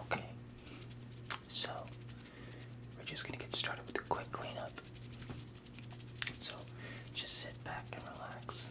Okay, so we're just gonna get started with a quick cleanup. So just sit back and relax.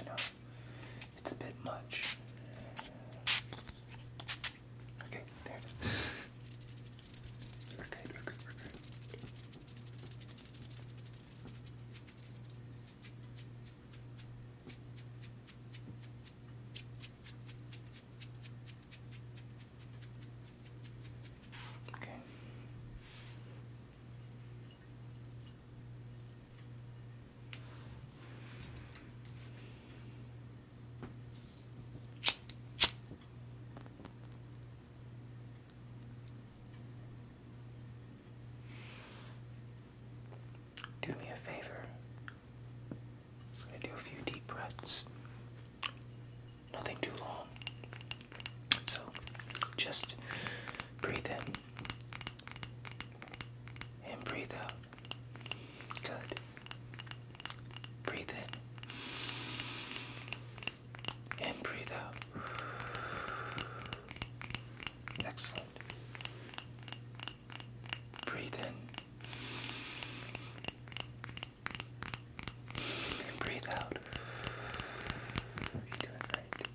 I know it's a bit much. Okay, there it is. We're good, Okay. Do me a favor I'm gonna do a few deep breaths. Nothing too long. So just breathe in and breathe out. Good. Breathe in and breathe out. Excellent. Breathe in. breathe out. You're doing right.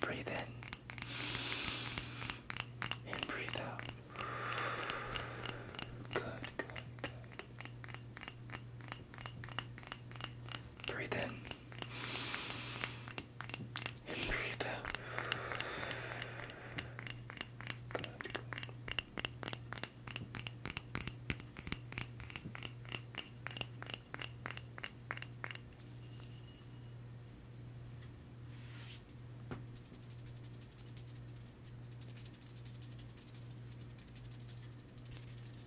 Breathe in and breathe out. Good, good, good. Breathe in and breathe out. Good.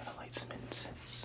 I'm to light some incense.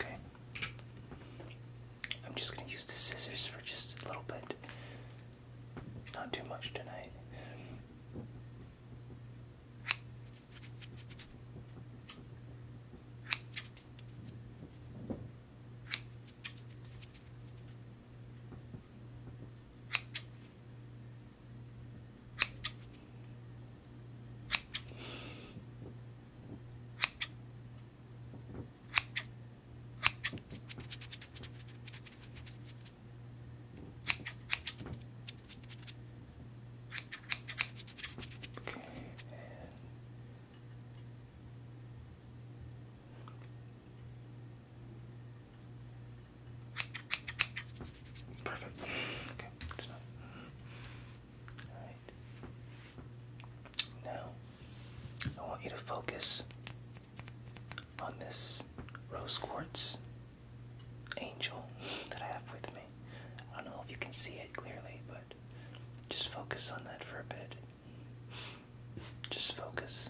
Okay. I'm just going to use the scissors for just a little bit not too much tonight. Okay, Perfect. Okay, Alright. Now, I want you to focus on this rose quartz angel that I have with me. I don't know if you can see it clearly, but just focus on that for a bit. Just focus.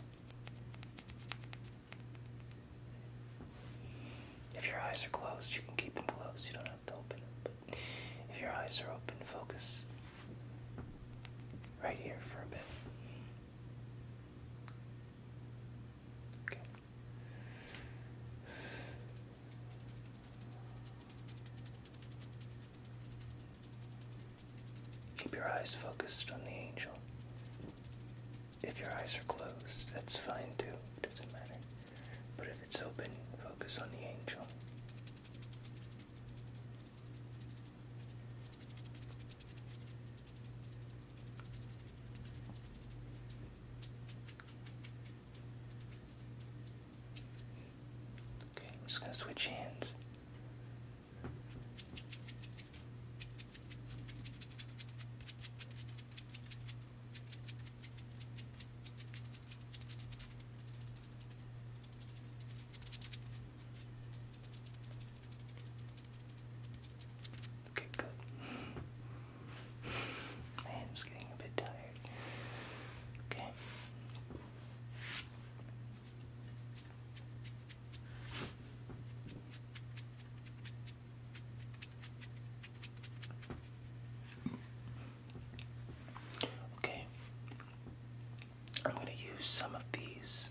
If your eyes are closed, you can keep them closed. You don't have to open them. But if your eyes are open, focus right here for a bit. Keep your eyes focused on the angel. If your eyes are closed, that's fine too. doesn't matter. But if it's open, focus on the angel. Okay, I'm just going to switch hands. Okay, good. My head getting a bit tired. Okay. Okay. I'm going to use some of these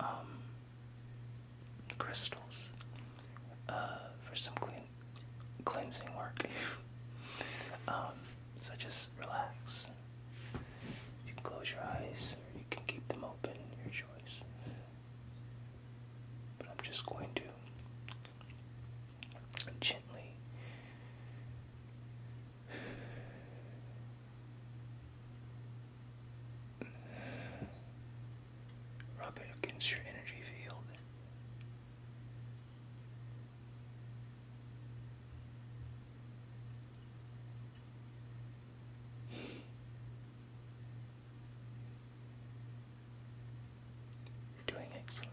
um, crystals uh, for some clean cleansing work. Um, so just relax. You can close your eyes or you can keep them open, your choice. But I'm just going to gently Rub it against your energy field. doing excellent.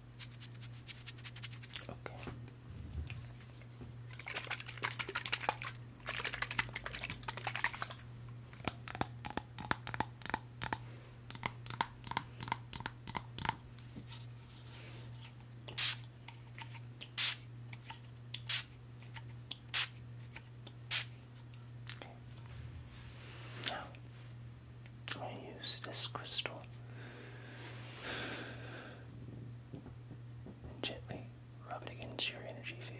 Okay. Now, i use this crystal and gently rub it against your energy field.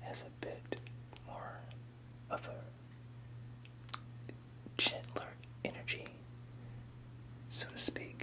has a bit more of a gentler energy, so to speak.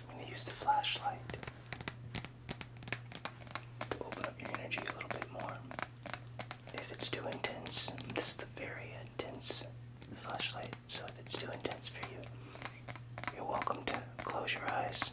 I'm going to use the flashlight to open up your energy a little bit more. If it's too intense, this is the very intense flashlight, so if it's too intense for you, you're welcome to close your eyes.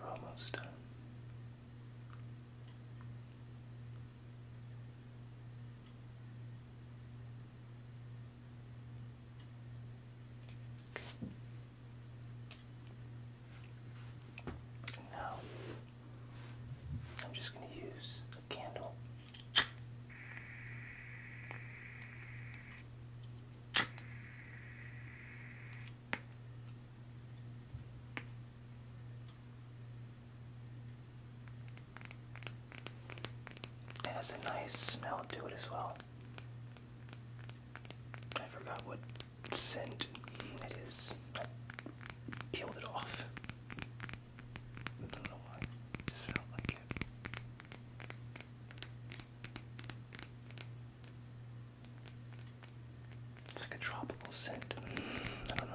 We're almost done. Now, I'm just going to use a candle. It has a nice smell to it as well. I forgot what scent it is. I peeled it off. I don't know It just felt like it. It's like a tropical scent. I don't know.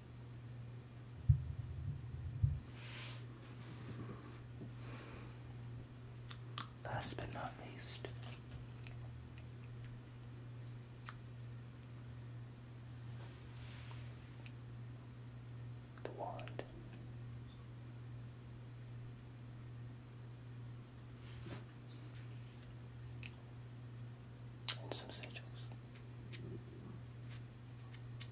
Last but not least, the wand. And some sigils.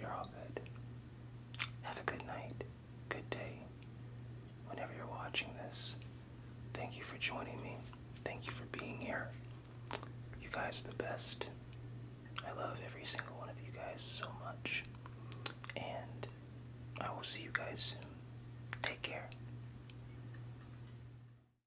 you're all good. Have a good night, good day. Whenever you're watching this, thank you for joining me. Thank you for being here. You guys are the best. I love every single one of you guys so much. And I will see you guys soon. Take care.